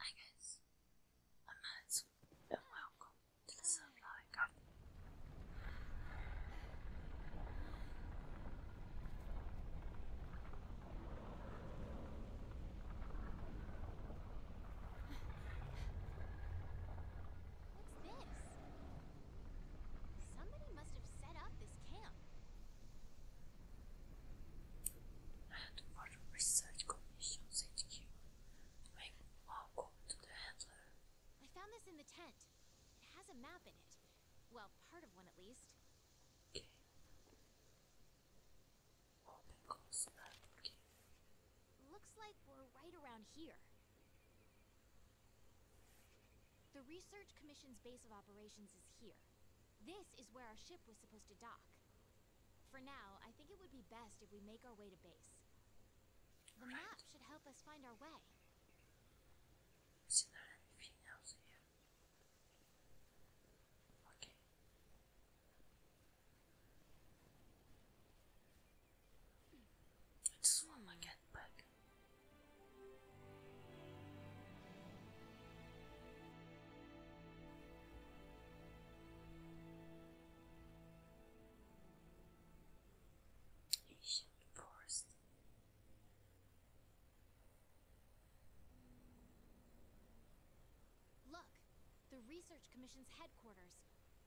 Hi guys, I'm Mads, and welcome to the Sunlight Garden. What's this? Somebody must have set up this camp. Research Commission's HQ. Make welcome oh, to the handler. I found this in the tent. It has a map in it. Well, part of one at least. Looks like we're right around here. The Research Commission's base of operations is here. This is where our ship was supposed to dock. For now, I think it would be best if we make our way to base. The map should help us find our way. Okay. I just want to get back. Look, the Research Commission's headquarters.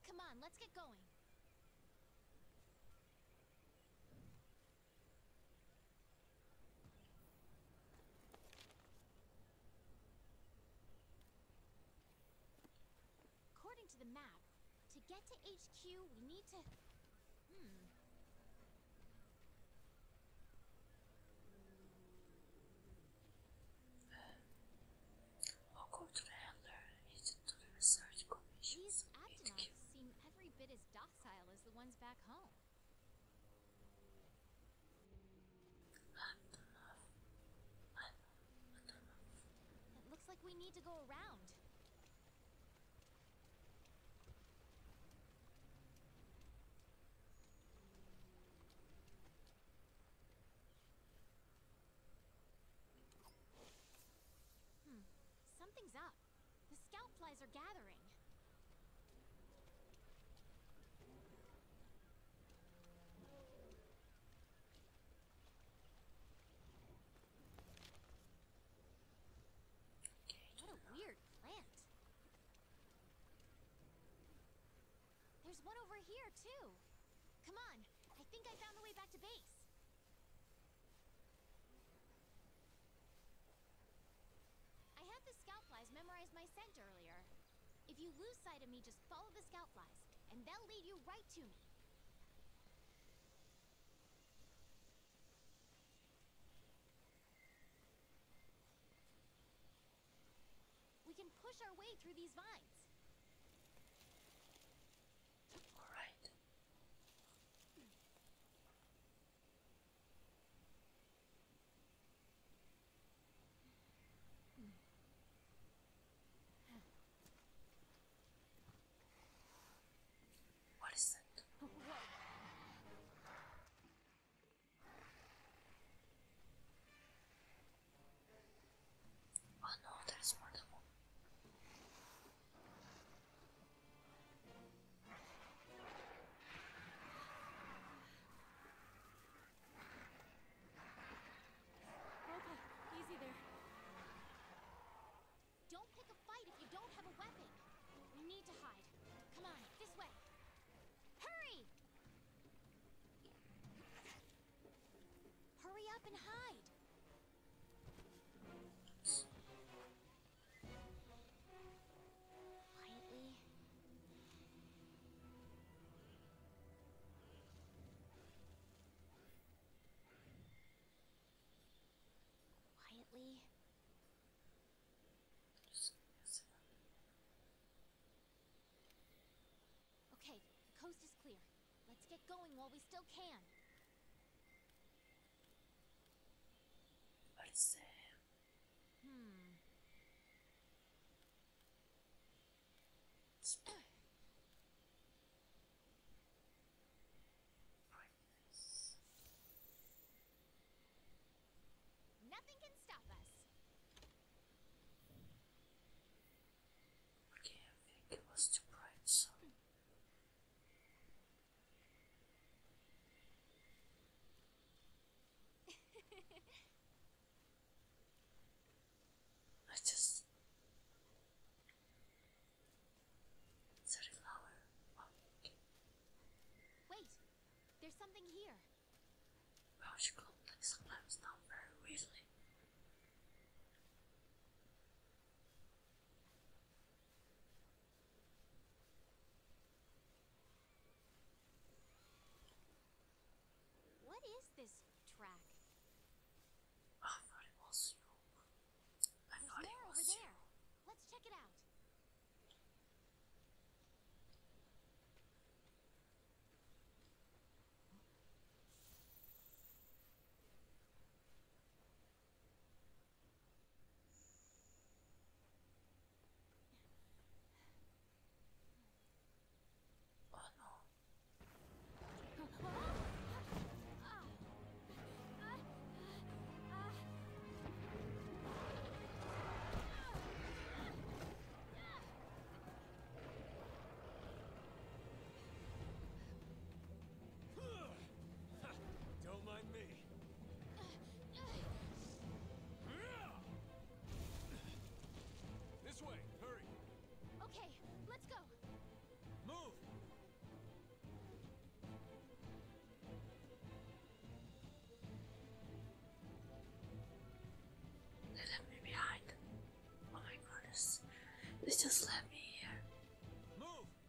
Come on, let's get going. According to the map, to get to HQ, we need to... Hmm. I'll go to the handler and the research commission. These seem every bit as docile as the ones back home. It looks like we need to go around. Hmm, something's up. The scout flies are gathering. What a weird plant. There's one over here, too. Come on, I think I found the way back to base. I had the scout memorize my scent earlier. If you lose sight of me, just follow the scout flies, and they'll lead you right to me. We can push our way through these vines. All right. What is that? Oh no, there's more than one. Okay, easy there. Don't pick a fight if you don't have a weapon. We need to hide. Come on, this way. Hurry! Hurry up and hide! Quietly. Quietly. Okay, the coast is clear. Let's get going while we still can. Parece. Hmm. Brightness. Nothing can stop us. Okay, I think it was too bright, I just sorry flower. Wait, there's something here. Well, oh, she like sometimes not very readily. What is this track? Oh, I over there. Let's check it out. Oh no. Don't mind me. This way, hurry. Okay, let's go. Move! They me behind. Oh my goodness. They just left me here. Move!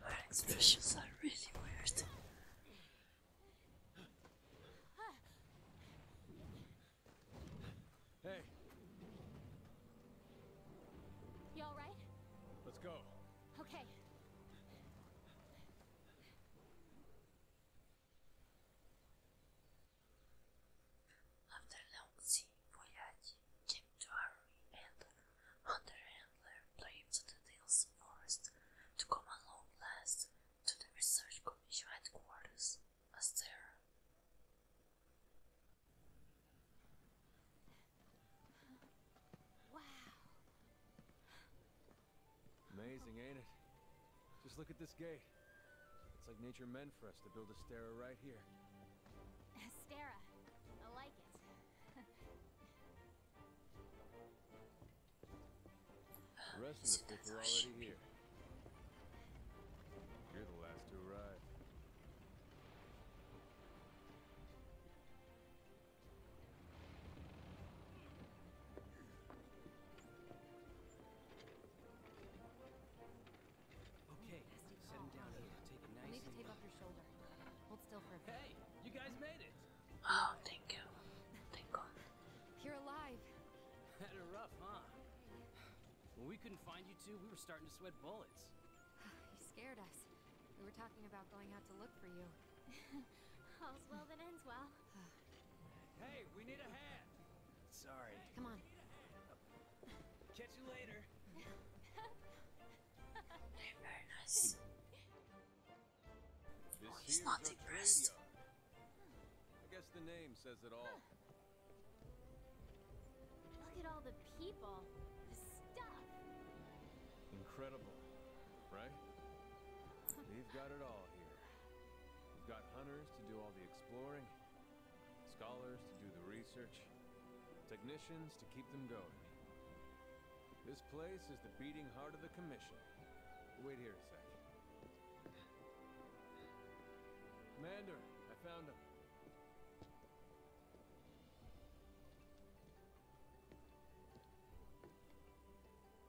Her expressions are really weird. Hey. You alright? Let's go. Okay. After a long sea voyage, came Jim Drury and Underhandler braved the Dales Forest to come along last to the Research Commission headquarters Wow. Amazing, ain't it? Just look at this gate. It's like nature meant for us to build a stera right here. A I like it. the rest of the kids are already here. You're the last to arrive. Okay, set down here. Take it nice. You need to take off your shoulder. Hold still for a bit. Hey, you guys made it. Oh, thank you. Thank God. You're alive. Had a rough, huh? When we couldn't find you two, we were starting to sweat bullets. you scared us. We were talking about going out to look for you. All's well that ends well hey, we need a hand. Sorry. Come on. Catch you later. Very nice. oh, he's not depressed. I guess the name says it all. Look at all the people. The stuff. Incredible, right? We've got it all here. We've got hunters to do all the exploring, scholars to do the research, technicians to keep them going. This place is the beating heart of the Commission. Wait here a sec. Commander, I found him.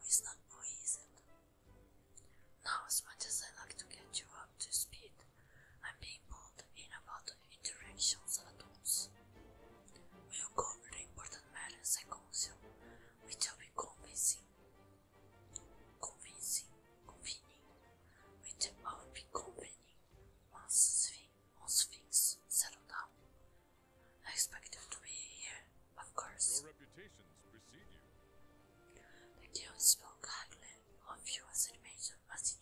it's not more Now, as much as I like to get you up to speed, I'm being pulled in about interactions of atoms. We'll cover the important matters I counsel, which will be convincing, convincing, convincing, which will be convening once, thing, once down I expected to be here, of course. The guild spoke highly of you as animators, as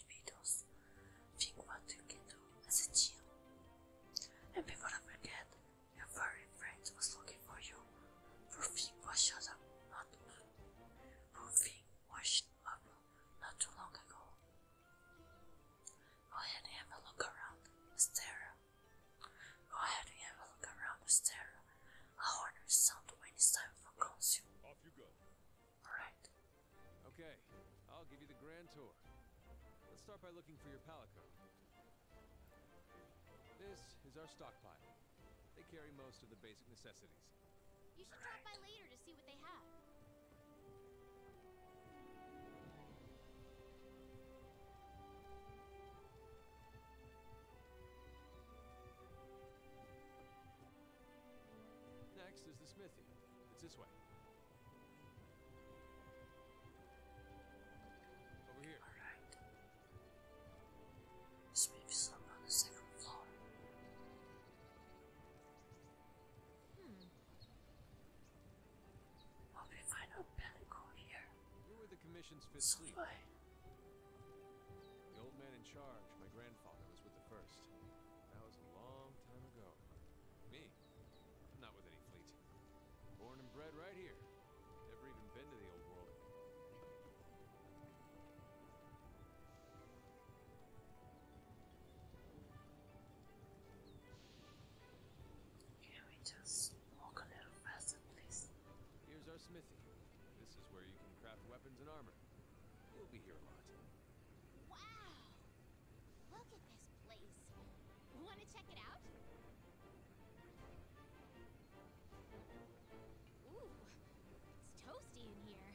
Think what you can as a team. And before I forget, your very friend was looking for you. For was shut up not for Thing was up not too long ago. Go ahead and have a look around, Estera. Go oh, ahead and have a look around the stereo. I'll order sound when time for consume. Alright. Okay, I'll give you the grand tour. Let's start by looking for your palico. This is our stockpile. They carry most of the basic necessities. You should drop by later to see what they have. Next is the smithy. It's this way. Over here. Alright. There's maybe on the second floor. Hmm. Okay, I know Pellicle here. You were the commission's fifth so The old man in charge, my grandfather, was with the first. That was a long time ago. Me? I'm not with any fleet. Born and bred right here. Never even been to the old world. Can we just walk a little faster, please? Here's our smithy. This is where you can craft weapons and armor. You'll be here a lot. Wow! Look at this place. Wanna check it out? Ooh, it's toasty in here.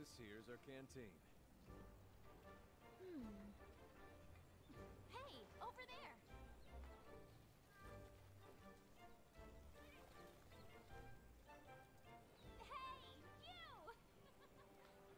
This here's our canteen. Hmm. Hey, over there! Hey, you!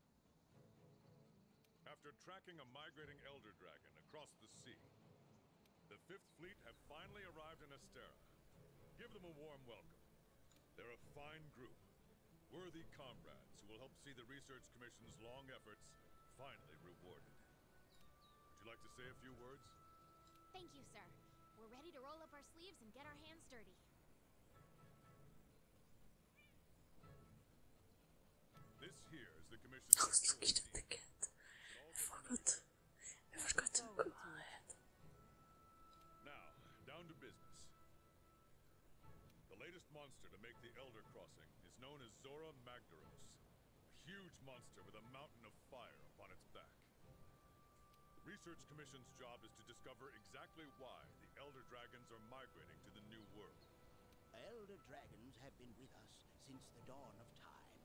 After tracking a migrating Elder Dragon across the sea, the Fifth Fleet have finally arrived in Astera. Give them a warm welcome. They're a fine group, worthy comrades who will help see the Research Commission's long efforts finally rewarded. Would you like to say a few words? Thank you, sir. We're ready to roll up our sleeves and get our hands dirty the I was looking at the cat. I forgot. I forgot to go Now, down to business. The latest monster to make the Elder Crossing is known as Zora Magdaros. A huge monster with a mountain of fire upon its back. The Research Commission's job is to discover exactly exactly why the Elder Dragons are migrating to the New World. Elder Dragons have been with us since the dawn of time.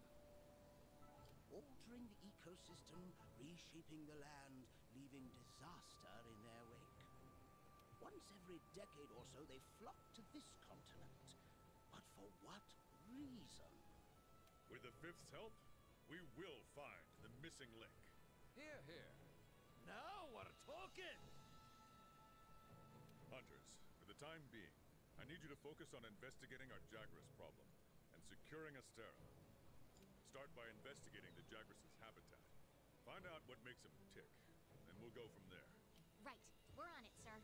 Altering the ecosystem, reshaping the land, leaving disaster in their wake. Once every decade or so, they flock to this continent. But for what reason? With the Fifth's help, we will find the missing link. Here, here. Now we're talking! Hunters, for the time being, I need you to focus on investigating our Jagras problem and securing Astera. Start by investigating the Jagras' habitat. Find out what makes them tick, and we'll go from there. Right. We're on it, sir.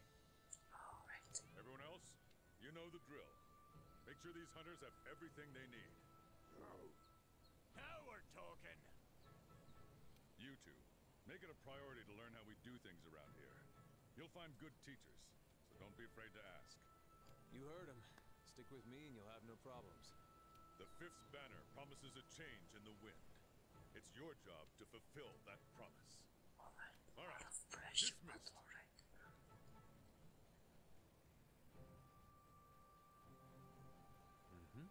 All right. Everyone else, you know the drill. Make sure these hunters have everything they need. Oh. Now we're talking. You two, make it a priority to learn how we do things around here. You'll find good teachers, so don't be afraid to ask. You heard him. Stick with me and you'll have no problems. The Fifth Banner promises a change in the wind. It's your job to fulfill that promise. Alright. Alright. Dismissed mm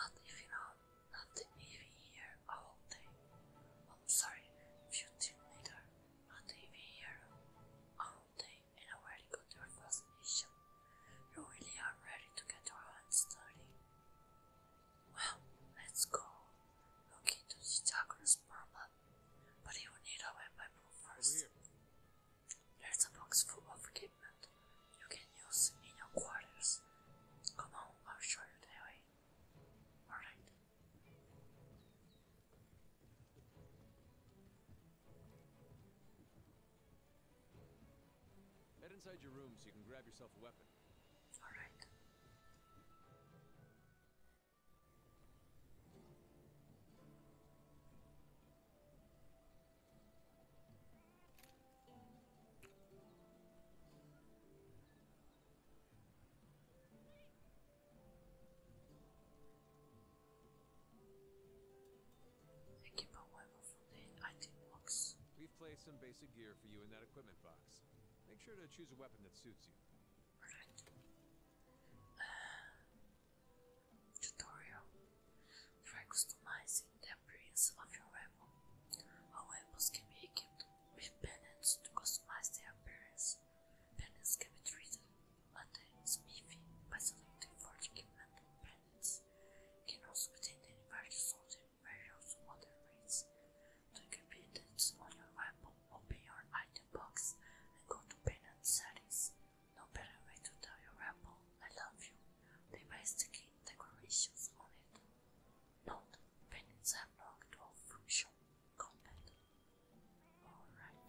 Not even out, not even here all day. Oh, sorry, few days later, not even here all day, and already got your first mission. You really are ready to get your hands dirty. Well, let's go. Look into the chakras problem but he will need our Bible first. There's a box full of equipment you can use in your quarters. Come on, I'll show you the way. Alright. Head inside your room so you can grab yourself a weapon. Alright. We've placed some basic gear for you in that equipment box. Make sure to choose a weapon that suits you. Tutorial Try customizing the appearance of your weapon. All weapons can be equipped with pennants to customize their appearance. Pennants can be treated at the smithy by selecting 40 equipment pennants. You can also obtain any various soldier various other rates to equip it on your weapon. Open your item box and go to payment settings. No better way to tell your Apple I love you than by sticking decorations on it. Note, payments have no actual function content. Alright.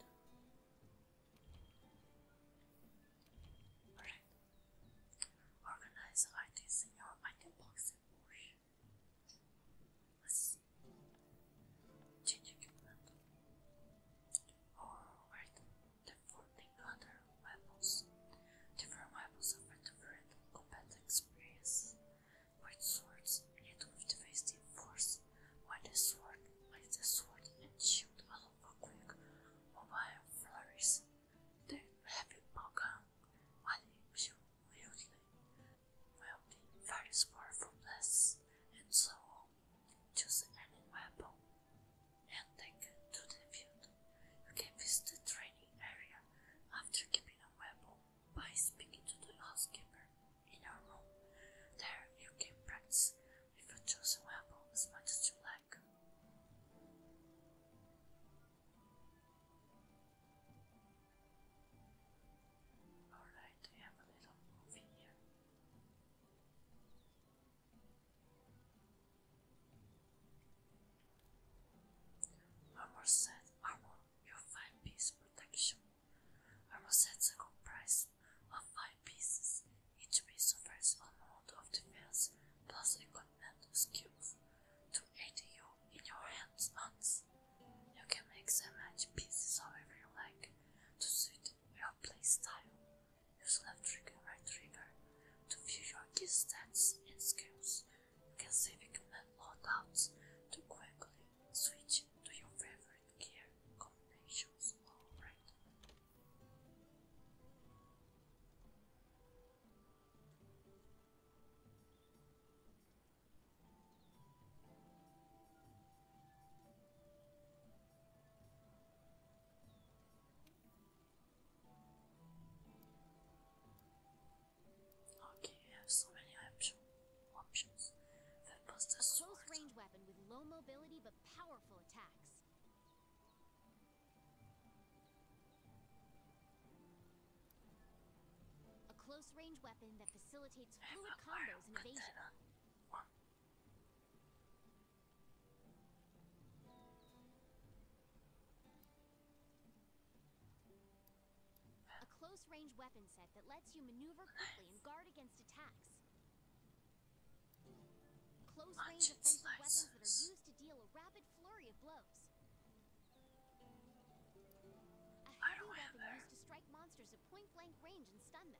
Alright. Organize items in your item box and push. Let's Change your Or red, the 14 other weapons. Different weapons offer different combat experience. White swords hit with defensive force, while the sword, like the sword and shield, allow for quick mobile flurries. The heavy bowgun, while shielding will be very powerfulness and so on. Choose any weapon and take it to the field. You can visit training area after keeping a weapon by speaking to the housekeeper in your room. There you can practice with your chosen weapon as much as you like. Armor set armor, your 5 piece protection. Armor sets are comprised of 5 pieces. Each piece offers a mode of defense plus equipment skills to aid you in your hands-on you can make so much pieces however you like to suit your play style. Use left trigger, right trigger to view your gear stats and skills. You can save equipment loadouts to quickly switch to your favorite gear combinations. Alright. Okay, you have so many option options. A close range weapon with low mobility but powerful attacks. A close range weapon that facilitates fluid combos and evasion. A close range weapon set that lets you maneuver quickly and guard against attacks. Close range offensive weapons that are used to deal a rapid flurry of blows. A heavy weapon used to strike monsters point-blank range and stun them.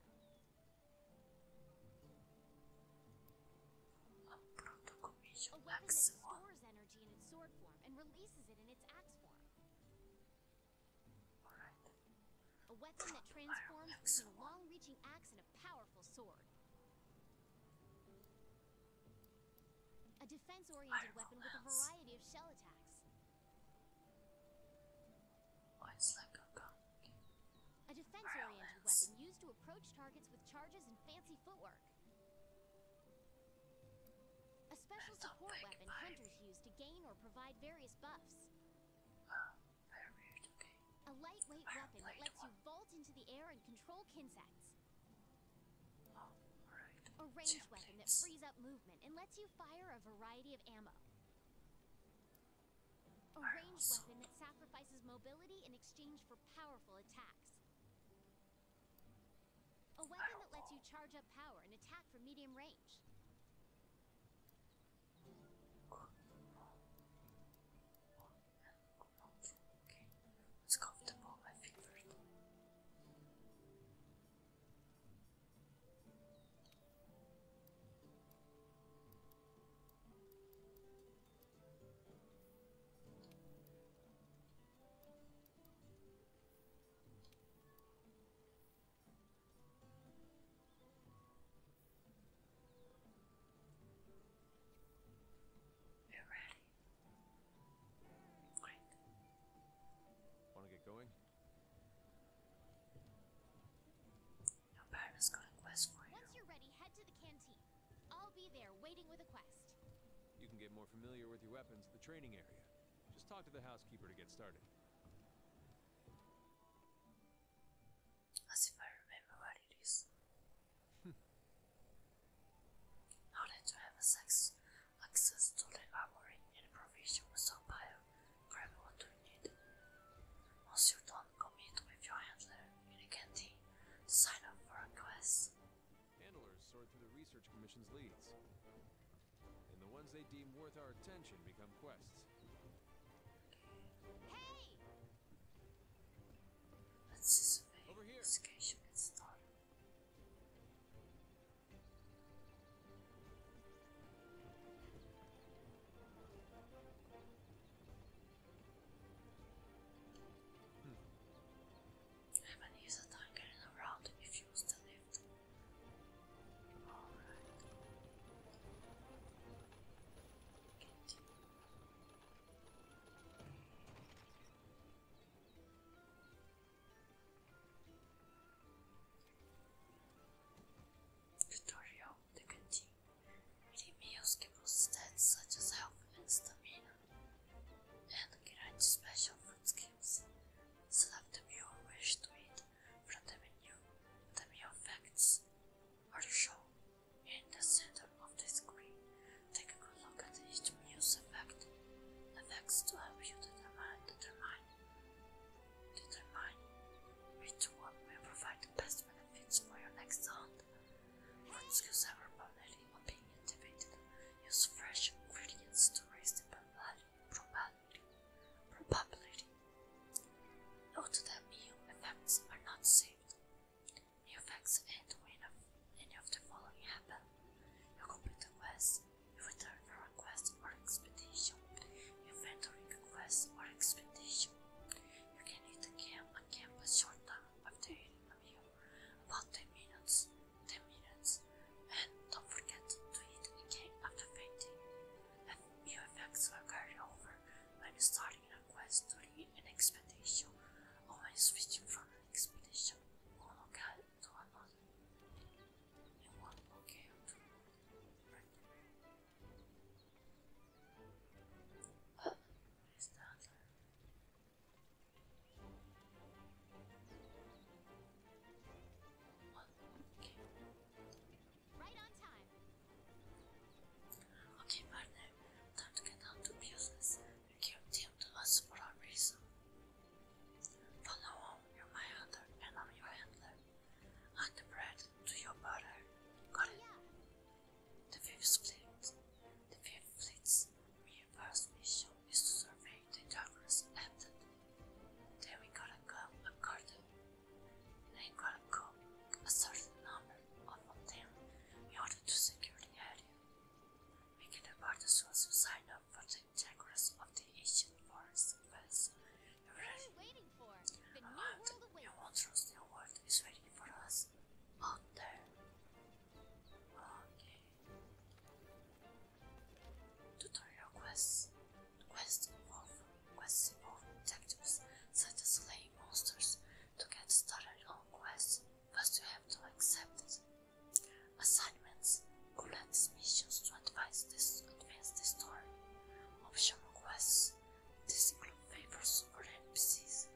A weapon that stores energy in its sword form and releases it in its axe form. A weapon that transforms into a long-reaching axe and a powerful sword. A defense-oriented weapon with a variety of shell attacks a defense-oriented weapon used to approach targets with charges and fancy footwork. A special support weapon hunters use to gain or provide various buffs. Ah, a lightweight weapon that lets you vault into the air and control kinsects. Oh, a range weapon that frees up movement and lets you fire a variety of ammo. A ranged weapon that sacrifices mobility in exchange for powerful attacks. A weapon that lets you charge up power and attack from medium range. it's comfortable, my favorite. You are ready. Great. Want to get going? Now Baron's got for you. Once you're ready, head to the canteen. I'll be there waiting with a quest. You can get more familiar with your weapons at the training area. Just talk to the housekeeper to get started. As if I remember what it is. Hmm. How did you have sex Access to the armory and provision provisions stockpile. Grab what you need. Once you're done, commit with your handler in a canteen sign up for a quest. Handlers sort through the research commission's leads. And the ones they deem worth our attention become quests. Hey! Let's see if investigation gets started. Heaven is a time getting around if you use to live. Story of the canteen. Many meals give us stats such as health and stamina, and grant special food skills. Select the meal you wish to eat from the menu. The meal effects are shown in the center of the screen. Take a good look at each meal's effect. Effects to help you determine Determine which one will provide the best benefits for your next hunt. Once you have popularity of being activated, use fresh ingredients to raise the probability. probability. Note that new effects are not saved. New effects end when any of the following happen. You complete the return a request or expedition, inventory request or expedition. You can eat a camp a camp a short time after eating a meal, about 10 minutes, 10 minutes, and don't forget to eat again after fainting. And new effects are carried over when starting a quest during an expedition or when switching from an expedition. Monocal thought on it, and one more came One more came. Right on time. Okay, partner, time to get down to business. You came to us for a reason. For now on, you're my hunter and I'm your handler. i the bread to your butter. Got it? The fifth fleet. The fifth fleet's mere first mission is to survey the darkness ended. Then we got a go according. Then we gotta cook a certain number of them in order to secure the area. We can depart as soon as sign up for the Tigers of the ancient forest was already arrived. You won't trust the world is waiting for us out there. Tutorial quests. Quests involve quests involve detectives such as slaying monsters. To get started on quests, first you have to accept it. Assignments, collect missions to advance the story. Option requests, this include favors over NPCs,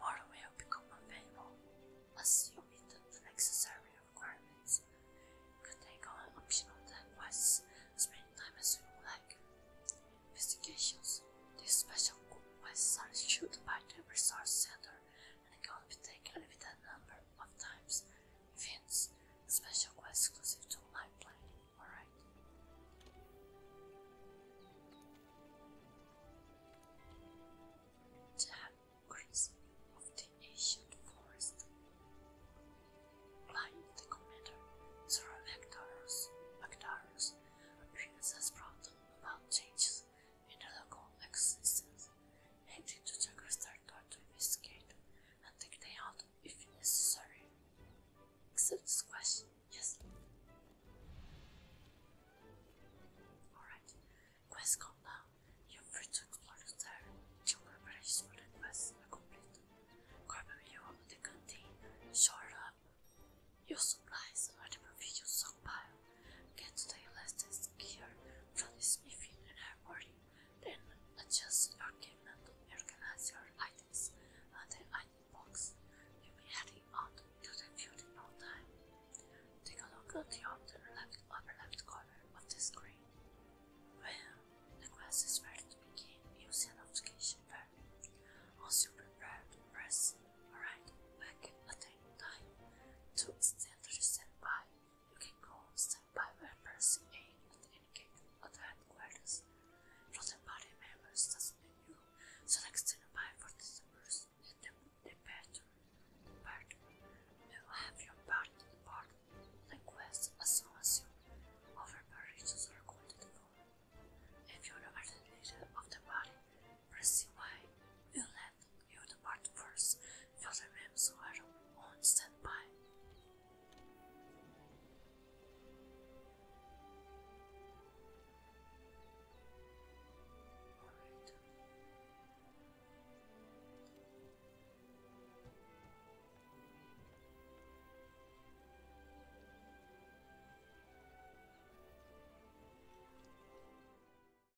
more will become available, assuming that the necessary requirements. You can take on optional quests as many times as you like. Investigations, these special quests are issued by the resource center and can be taken a number of times, events, special quests exclusive to my planet, alright? Damn crimson of the ancient forest. Blind the commander, Zora Mactarus, Mactarus appears as brought about changes in the local existence I need to check Jagastar got to investigate and take them out if necessary. Accept this question, yes? Alright, quest come now. You're free to explore the star. Two quest are complete. Grab a view of the canteen, up. Your supplies are the provisions stockpile against the elastic gear from the smithing and ivory, then adjust your given to organize your items and the item box. You'll be heading out to the field in no time. Take a look at the upper left, upper left corner of the screen. Well, the quest is ready to begin using an application value. Once you prepare to press, right back at the time to stand to the standby you can go step by members aim and any gate of the headquarters. Rotten party members doesn't you select an by for the servers and the, the better part. You will have your part in the part the quest as long as your overparations are accounted for. If you are the leader of the party, press Y will you would depart first, fill the rooms were on standby. Alright.